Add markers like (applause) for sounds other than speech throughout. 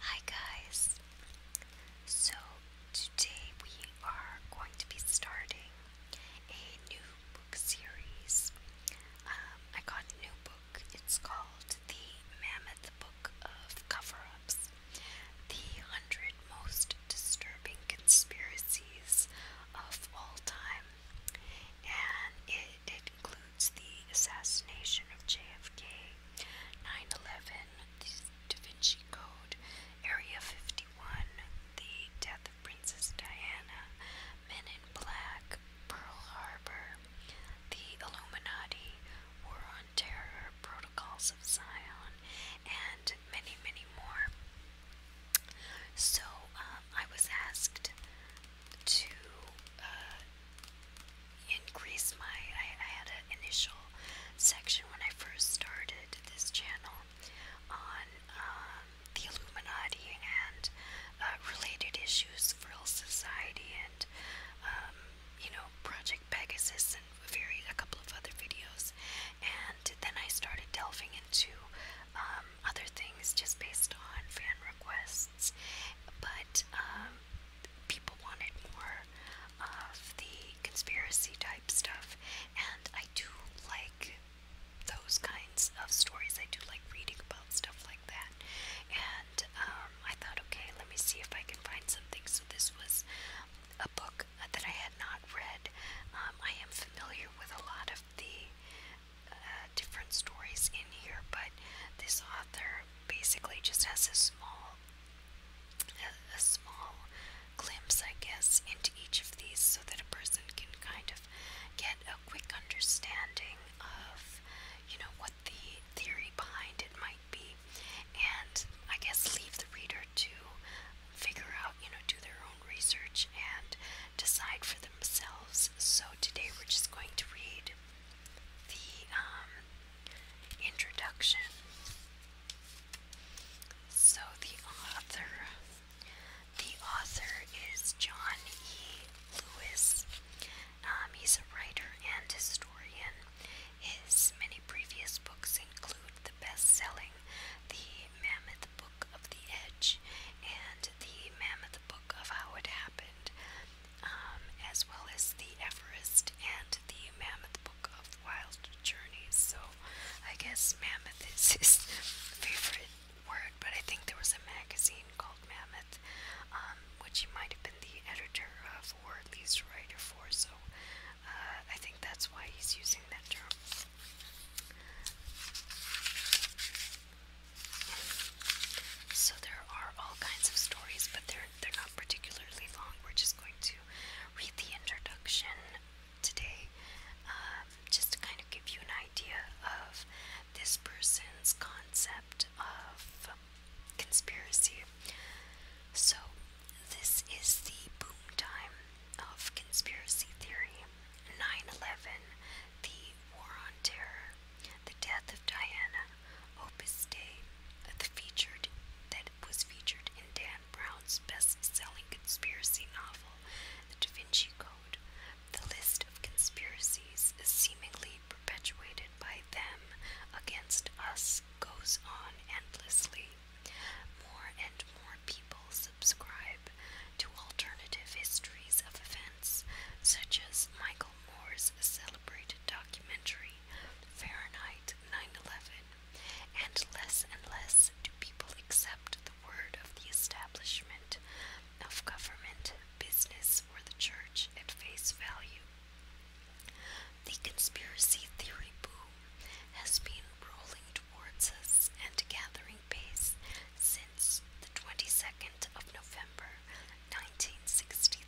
Hi guys! So today we are going to be starting a new book series. Um, I got a new book. It's called The Mammoth Book of Cover-Ups. The 100 Most Disturbing Conspiracies of All Time. And it it includes the assassination of JFK, 9 11, the Da Vinci Code, Area 51, the death of Princess Diana, Men in Black, Pearl Harbor, the Illuminati, War on Terror, Protocols of Zion, and many, many more. So um, I was asked to uh, increase my. I, had an initial section when I first started this channel on um, the Illuminati and uh, related issues, Frill Society, and um, you know, Project Pegasus, and very a couple of other videos. And then I started delving into um, other things just based on fan requests artists, but um, people wanted more of the conspiracy type stuff, and I do like those kinds of stories. I do like reading about stuff like that, and um, I thought, okay, let me see if I can find something. So this was a book that I had not read. Um, I am familiar with a lot of the uh, different stories in here, but this author basically just has a small, a small glimpse, I guess, into each of these, so that a person can kind of get a quick understanding of, you know, what the theory behind it might be, and I guess leave the reader to figure out, you know, do their own research and decide for themselves. So today we're just going to read the um, introduction. So the author, the author is John E. Lewis. Um, he's a writer and historian. His many previous books include the best-selling *The Mammoth Book of the Edge* and *The Mammoth the book of how it happened, um, as well as the Everest and the Mammoth Book of Wild Journeys. So I guess Mammoth is his (laughs) favorite word, but I think there was a magazine called Mammoth, um, which he might have been the editor of or at least writer for. So uh, I think that's why he's using that term. So there are all kinds of stories, but they're they're not particularly long. We're just going to read the introduction today, um, just to kind of give you an idea of this person's concept of conspiracy. So this is the boom time of conspiracy theory. 9 the War on Terror, The Death of Diana, Opus the featured that was featured in Dan Brown's best-selling conspiracy novel, The Da Vinci Code. The list of conspiracies seemingly perpetuated by them against us goes on endlessly. More and more people subscribe to alternative histories of events, such as Michael Moore's celebrated documentary Fahrenheit 9/11, and less and less do people accept the word of the establishment, of government, business, or the church at face value. The conspiracy theory boom has been rolling towards us and gathering pace since the 22nd of November 1963,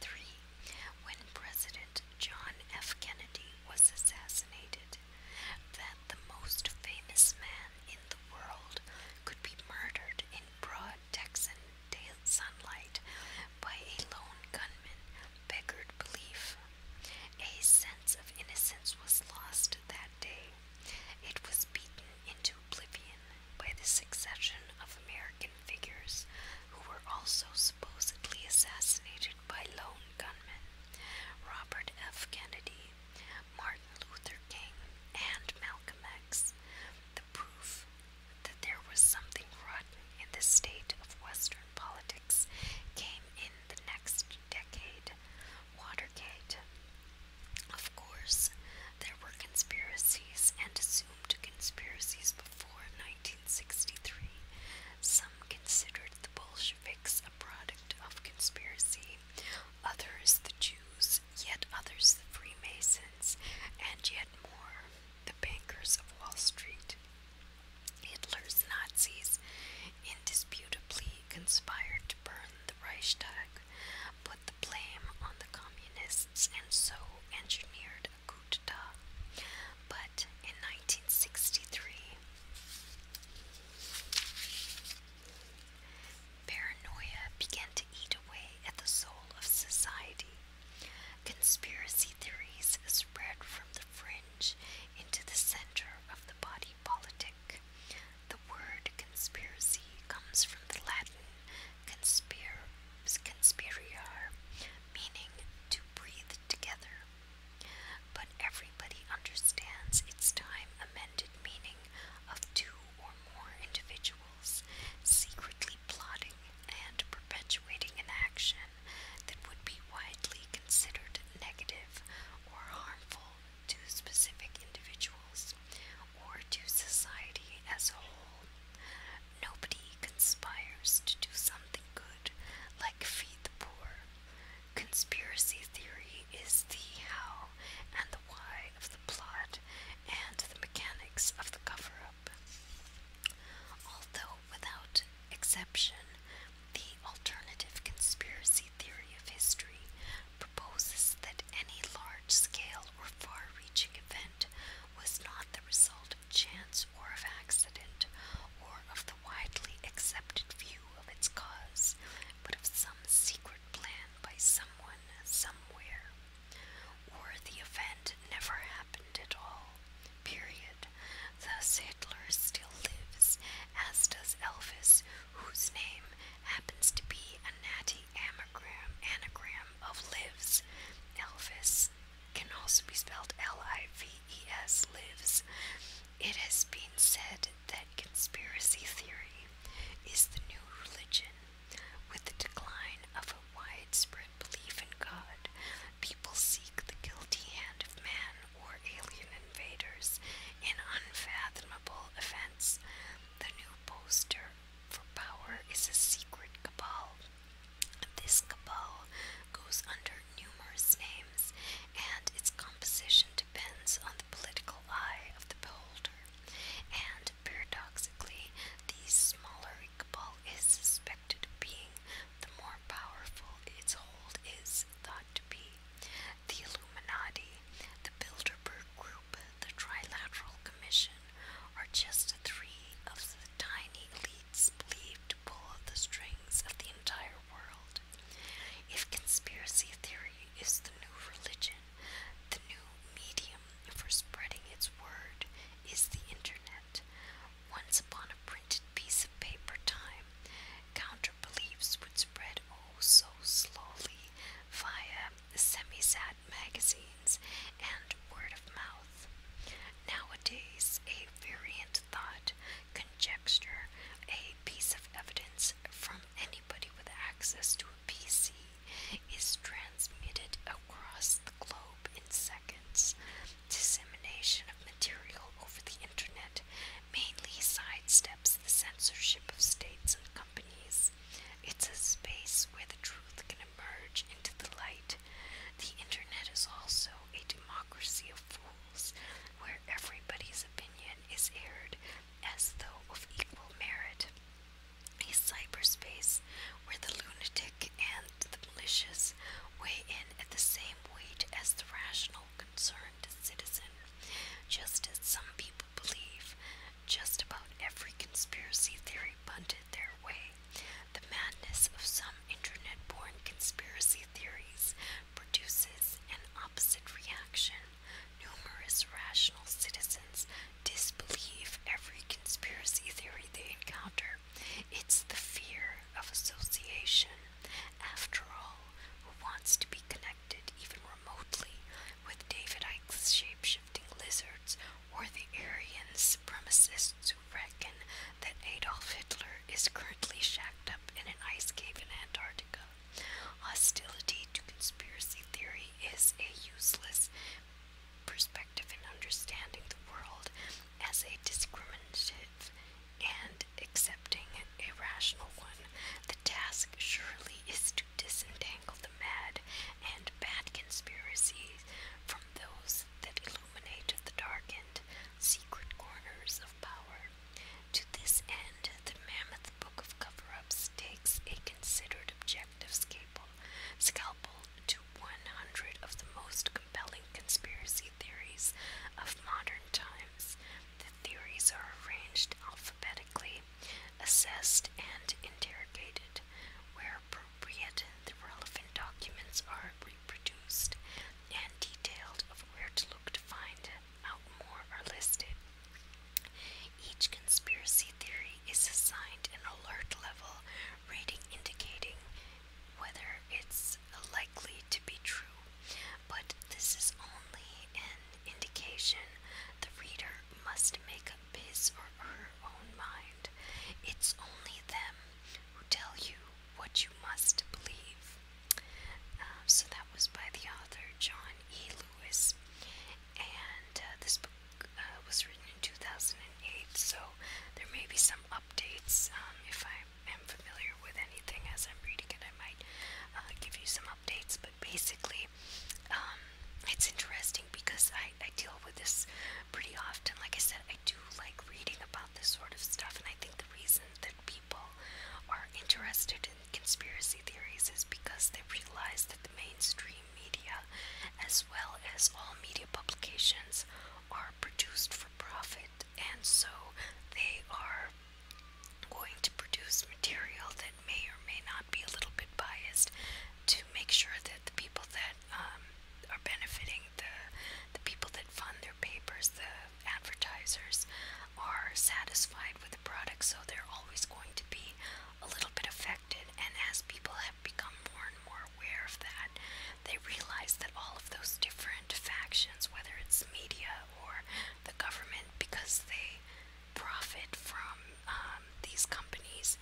when President John F. Kennedy was assassinated, that the most famous man in the world could be murdered in broad Texan daylight by a lone gunman beggared belief. A sense of innocence was lost that day. It was beaten into oblivion by the succession of American figures who were also supposedly assassinated by lone gunmen Robert F. Kennedy, Martin Luther King, and Malcolm X. The proof that there was something rotten in the state of Western politics came in the next decade. Watergate, of course, there were conspiracies and assumed conspiracies before 1963. Some considered the Bolsheviks a product of conspiracy, others the Jews, yet others the Freemasons, and yet more the bankers of Wall Street. Hitler's Nazis indisputably conspired to burn the Reichstag put the blame on the communists and so engineered a coup But in 1963, paranoia began to eat away at the soul of society. Conspiracy theories spread from the fringe into the center of the body politic. The word conspiracy comes from the Latin conspir conspiriar, meaning to breathe together. But everybody understands its time amended meaning of two or more individuals secretly plotting and perpetuating an action that would be widely considered negative or harmful to specific individuals or to society as a whole. Nobody conspires to do something good like feed the poor. Conspiracy theory is the how and the why of the plot and the mechanics of the cover up. Although, without exception, the alternative conspiracy theory of history proposes that any large scale or far reaching event was not the result of chance or of accident or of the widely accepted view of its cause, but of some secret plan by someone somewhere. Or the event never happened at all. Period. Thus Hitler still lives, as does Elvis, whose name happens to be a natty anagram, anagram of lives. Elvis can also be spelled L-I-V-E-S, lives. It has been said that conspiracy theory is the new religion. With the decline of a widespread belief in God, people seek the guilty hand of man or alien invaders an unfathomable offense. The new poster for power is a secret cabal. This cabal goes under numerous names, and its composition depends on the political eye of the beholder. And paradoxically, the smaller cabal is suspected of being, the more powerful its hold is thought to be the Illuminati, the Bilderberg Group, the Trilateral Commission are just three of the tiny elites believed to pull the strings of the entire world. If conspiracy theory is the new religion, the new medium for spreading its word is the internet. Once upon a printed piece of paper time, Count counter would spread oh so slowly via semi sad magazines and word of mouth. Nowadays, a variant thought, conjecture, a piece of evidence from anybody with access to a PC is transmitted across the globe in seconds. Dissemination of material over the internet mainly sidesteps the censorship of states and companies. It's a space where the truth can emerge into the light. The internet is also a democracy of fools, where everybody's opinion is aired as though of equal merit. A cyberspace where the lunatic and the malicious weigh in at the same weight as the rational concerned citizen, just as some people believe just about every conspiracy theory punted their way. The madness of some internet born conspiracy theories produces an opposite reaction. Numerous rational citizens disbelieve every conspiracy theory they encounter. It's the fear of association after all, who wants to be connected even remotely with David Icke's shapeshifting lizards or the Aryan supremacists who reckon that Adolf Hitler is currently shacked up in an ice cave in Antarctica? Hostility to conspiracy theory is a useless perspective in understanding the world as a discriminative and accepting a rational one. The task surely is to disentangle the mad and bad conspiracies from those that illuminate the darkened, secret corners of power. To this end, the mammoth book of cover ups takes a considered objective scalpel, to 100 of the most compelling conspiracy theories of modern times. The theories are arranged alphabetically, assessed, and interrogated. Where appropriate, the relevant documents are reproduced and detailed of where to look to find out more are listed. Each conspiracy theory is assigned an alert level rating indicating whether it's likely to be true, but this is only an indication. The reader must make up his or her own mind. It's only them who tell you what you must believe. Um, so that was by the author John E. Lewis, and uh, this book. Uh, was written in 2008, so there may be some updates um, if I I am familiar with anything as I'm reading it, I might uh, give you some updates. But basically, um, it's interesting because I, I deal with this pretty often. Like I said, I do like reading about this sort of stuff, and I think the reason that people are interested in conspiracy theories is because they realize that the mainstream media, as well as all media publications, are produced for profit and so they are going to produce material that may or may not be a little bit biased to make sure that the people that um, are benefiting the the people that fund their papers, the advertisers, are satisfied with the product. So they're always going to be a little bit affected. And as people have become more and more aware of that, they realize that all of those different different factions, whether it's media or the government, because they profit from um, these companies.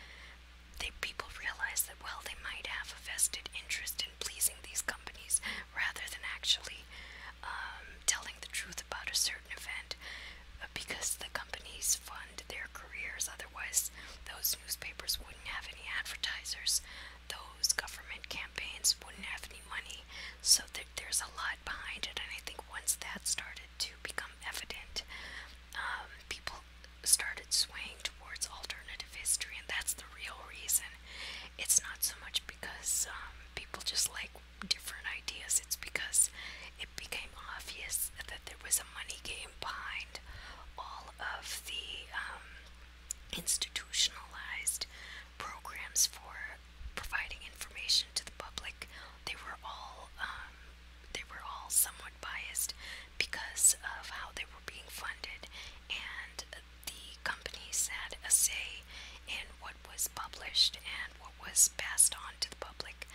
They people realize that well, they might have a vested interest in pleasing these companies rather than actually um, telling the truth about a certain event, uh, because the companies fund their careers. Otherwise, those newspapers wouldn't have any advertisers those government campaigns wouldn't have any money. So th there's a lot behind it, and I think once that started to become evident, um, people started swaying towards alternative history, and that's the real reason. It's not so much because um, people just like different ideas, it's because it became obvious that there was a money game behind all of the um, institutionalized programs for providing information to the public. They were all um, they were all somewhat biased because of how they were being funded, and the companies had a say in what was published and what was passed on to the public.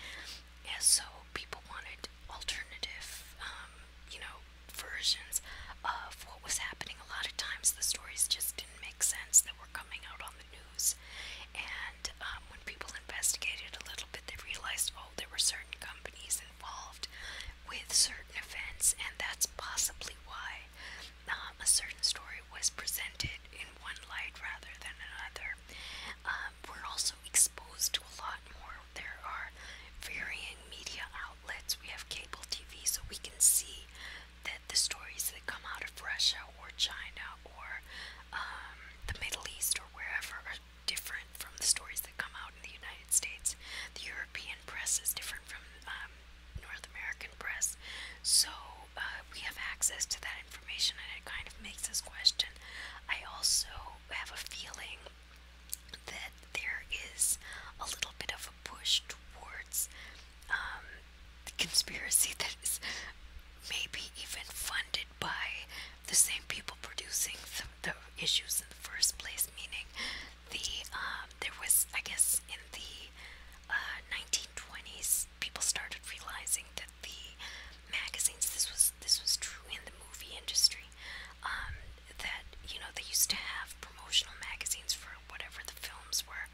And so people wanted alternative, um, you know, versions of what was happening. A lot of times the stories just didn't make sense that were coming out on the news. And um, when people investigated a little bit, they realized, oh, there were certain companies involved with certain events, and that's possibly why um, a certain story was presented in one light rather than another. Um, we're also exposed to a lot more. There are varying media outlets outlets, we have cable TV, so we can see that the stories that come out of Russia or China or um, the Middle East or wherever are different from the stories that come out in the United States. The European press is different from um, North American press, so uh, we have access to that information, and it kind of makes us question. I also have a feeling that there is a little bit of a push towards um, conspiracy (laughs) that is maybe even funded by the same people producing the, issues in the first place. Meaning, the um, there was, I guess, in the 1920s, uh, people started realizing that the magazines. This was this was true in the movie industry um, that you know they used to have promotional magazines for whatever the films were,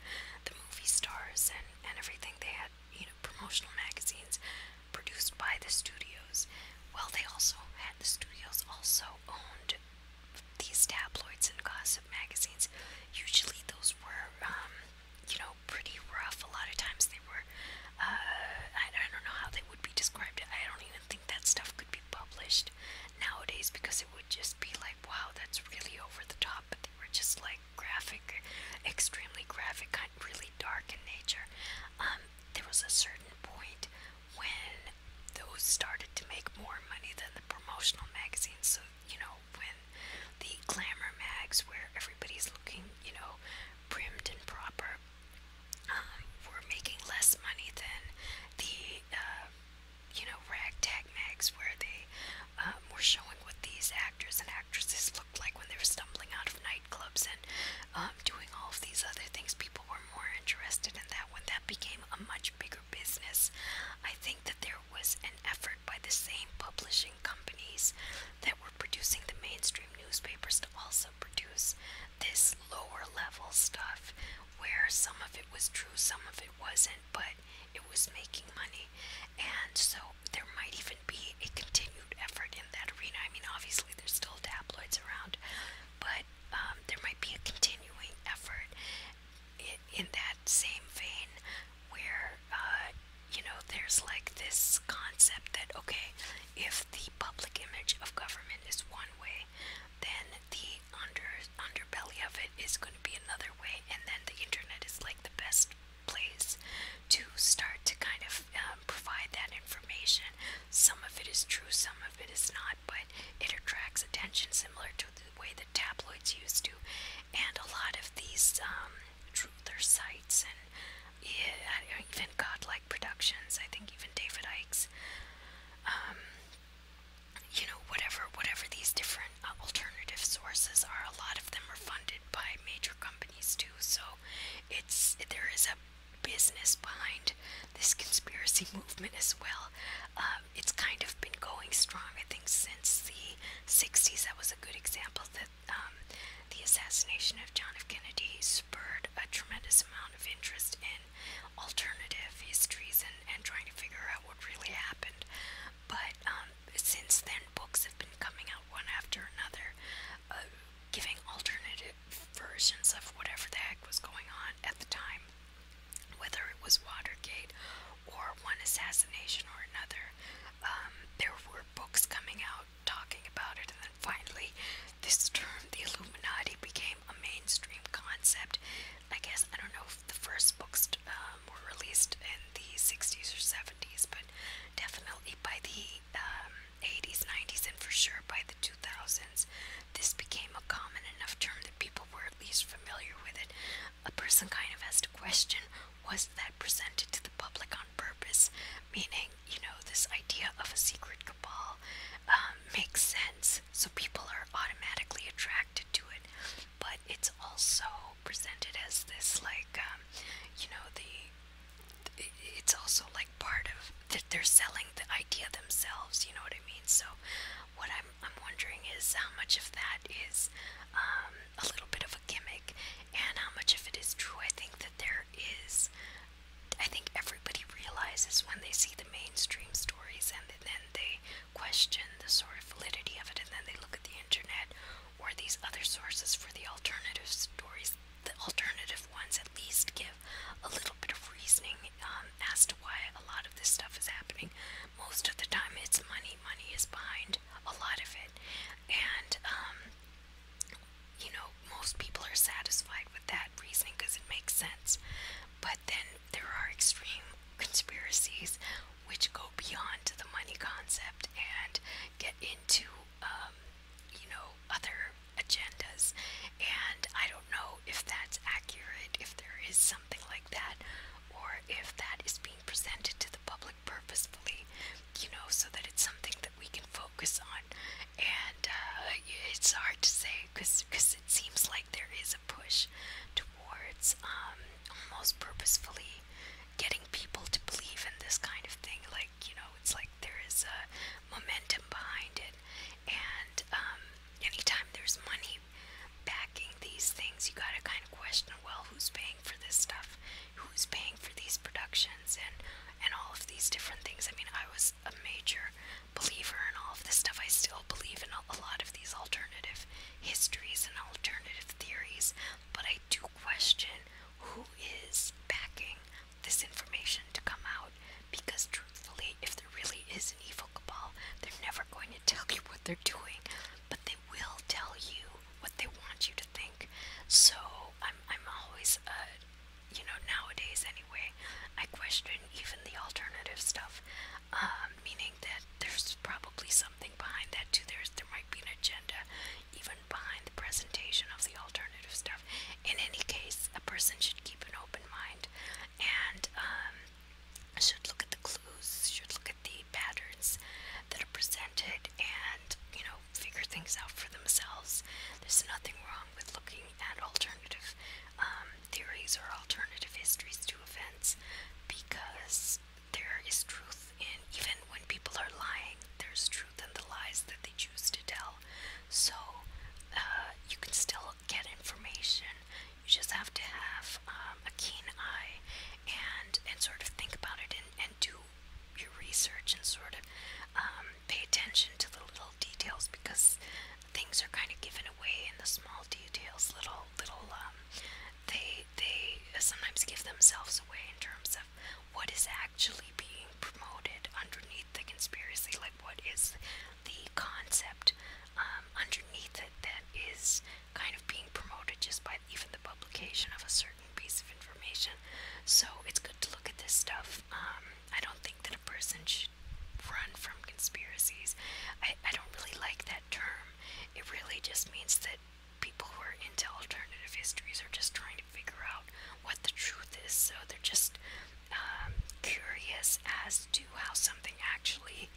the movie stars and and everything. They had you know promotional magazines produced by the studios. Well, they also had the studios also owned these tabloids and gossip magazines. Usually those were. Um, you know, pretty rough. A lot of times they were, uh, I, I don't know how they would be described. I don't even think that stuff could be published nowadays because it would just be like, wow, that's really over the top. But they were just like graphic, extremely graphic, kind of really dark in nature. Um, there was a certain point when those started to make more money than the promotional magazines. So you know when the glamour mags, where everybody's looking, you know, brimmed and proper, um, were making less money than the uh, you know ragtag mags where they um, were showing what these actors and actresses looked like when they were stumbling out of nightclubs and um, doing all of these other things. People were more interested in that when that became a much bigger business. I think that there was an effort by the same publishing companies that were producing the mainstream newspapers to also produce this lower level stuff where some of it was true, some of it wasn't, but it was making money. And so there might even be a continued effort in that arena. I mean, obviously, there's still tabloids around, but um, there might be a continuing effort in, that same vein where, uh, you know, there's like this concept that, okay, if if the public image of government is one way, then the under underbelly of it is going to be another way, and then the internet is like the best place to start to kind of um, provide that information. Some of it is true, some of it is not, but it attracts attention similar to the way the tabloids used to, and a lot of these um, truther sites and yeah, even God like productions. I think even David Icke's, um, you know, whatever whatever these different uh, alternative sources are. A lot of them are funded by major companies too. So it's there is a business behind this conspiracy (laughs) movement as well. Um, it's kind of been going strong. I think since the '60s, that was a good example that. Um, the assassination of John F. Kennedy spurred a tremendous amount of interest in alternative histories and, and trying to figure out what really happened. But um, since then, books have been coming out one after another, uh, giving alternative versions of whatever the heck was going on at the time, whether it was Watergate or one assassination or another. Um, there were books coming out talking about it, and then finally, this term, the Illuminati, became a mainstream concept. I guess I don't know if the first books um, were released in the 60s or 70s, but definitely by the 80s, um, 90s, and for sure by the 2000s, this became a common enough term that people were at least familiar with it. A person kind of asked a question was that presented to the public on on purpose, meaning, you know, this idea of a secret cabal um, makes sense, so people are automatically attracted to it, but it's also presented as this, like, um, you know, the it's also like part of that they're selling the idea themselves, you know what I mean? So, what I'm, I'm wondering is how much of that is um, a little bit of a gimmick and how much of it is true. I think that there is I think everybody realizes when they see the mainstream stories and then they question the sort of validity of it and then they look at the internet or these other sources for the alternative stories. The alternative ones at least give a little bit of reasoning um, as to why a lot of this stuff is happening. Most of the time, it's money. Money is behind a lot of it. And um, you know, most people are satisfied with that reasoning because it makes sense. But then there are extreme conspiracies which go beyond the money concept and get into, um, you know, other agendas. And I don't know if that's accurate, if there is something like that, or if that is being presented to the public purposefully, you know, so that it's something that we can focus focus on, and uh, it's hard to say because it seems like there is a push towards um, almost purposefully getting people to believe in this kind of thing. Like you know, it's like there is a momentum behind it, and um, anytime there's money backing these things, you gotta kind of question, well, who's paying for this stuff? who's paying for these productions and and all of these different things. I mean, I was a major believer in all of this stuff. I still believe in a lot of these alternative histories and alternative theories, but I do question who is backing this information to come out because truthfully, if there really is an evil cabal, they're never going to tell you what they're doing, but they will tell you what they want you to think. So I'm I'm always uh, you know, nowadays anyway, I question even the alternative stuff, um, meaning that there's probably something behind that too. There's there might be an agenda even behind the presentation of the alternative stuff. In any case, a person should keep an open mind and um, should look at the clues, should look at the patterns that are presented contented and, you know, figure things out for themselves. There's nothing wrong with looking at alternative um, theories or alternative histories to events because there is truth in, even when people are lying, there's truth in the lies that they choose to tell. So, uh, you can still get information. You just have to have um, a keen eye and and sort of think about it and, and do your research and sort of um, pay attention to the little details because things are kind of given away in the small details. Little little um, they they sometimes give themselves away in terms of what is actually being promoted underneath the conspiracy. Like what is the concept um, underneath it that is kind of being promoted just by not even the publication of a certain piece of information. So it's good to look at this stuff. Um, I don't think that a person should run from conspiracies. I, I don't really like that term. It really just means that people who are into alternative histories are just trying to figure out what the truth is. So they're just um, curious as to how something actually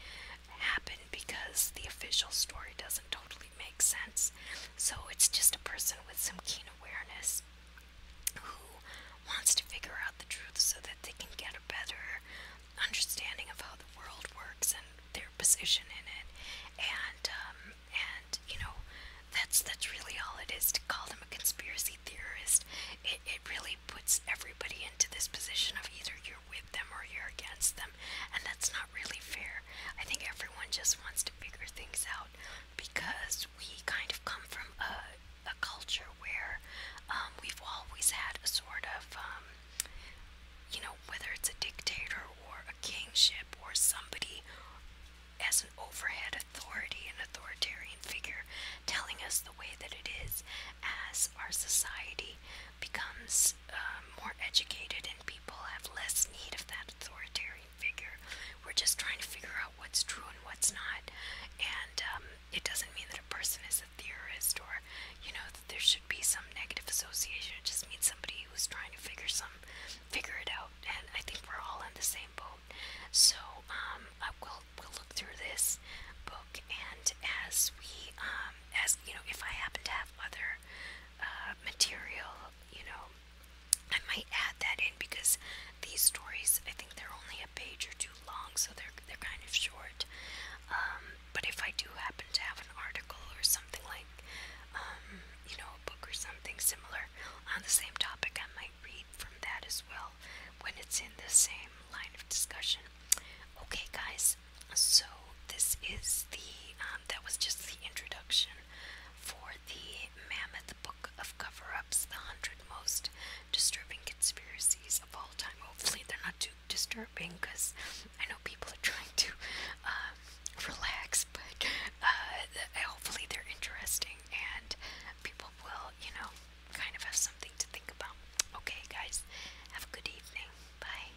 happened because the official story doesn't totally probably make sense. So it's just a person with some keen awareness who wants to figure out the truth so that they can get a better understanding of how the world works and their position in it. And um, and you know, that's that's really all it is to call them a conspiracy theorist. It it really puts everybody into this position of either you're with them or you're against them, and that's not not really fair. I think everyone just wants to figure things out because we kind of come from a, a culture where um, we've always had a sort of, um, you know, whether it's a dictator or a kingship or somebody as an overhead authority, an authoritarian figure, telling us the way that it is as our society becomes. Uh, um, more educated and people have less need of that authoritarian figure. We're just trying to figure out what's true and what's not. And um, it doesn't mean that a person is a theorist or, you know, that there should be some negative association. It just means somebody who's trying to figure some, figure it out. And I think we're all in the same boat. So um, I will we'll look through this book, and as we, um, as you know, if I happen to have other uh, material um, you know, I might add that in because these stories, I think they're only a page or two long, so they're they're kind of short. Um, but if I do happen to have an article or something like, um, you know, a book or something similar on the same topic, I might read from that as well when it's in the same line of discussion. Okay, guys, so this is the um, that was just the introduction for the Mammoth Book of Cover-ups: The Hundred Most Disturbing Conspiracies of All Time. Hopefully, they're not too disturbing because I know people are trying to um, relax, (laughs) but uh, hopefully they're interesting and people will, you know, kind of have something to think about. Okay, guys, have a good evening. Bye.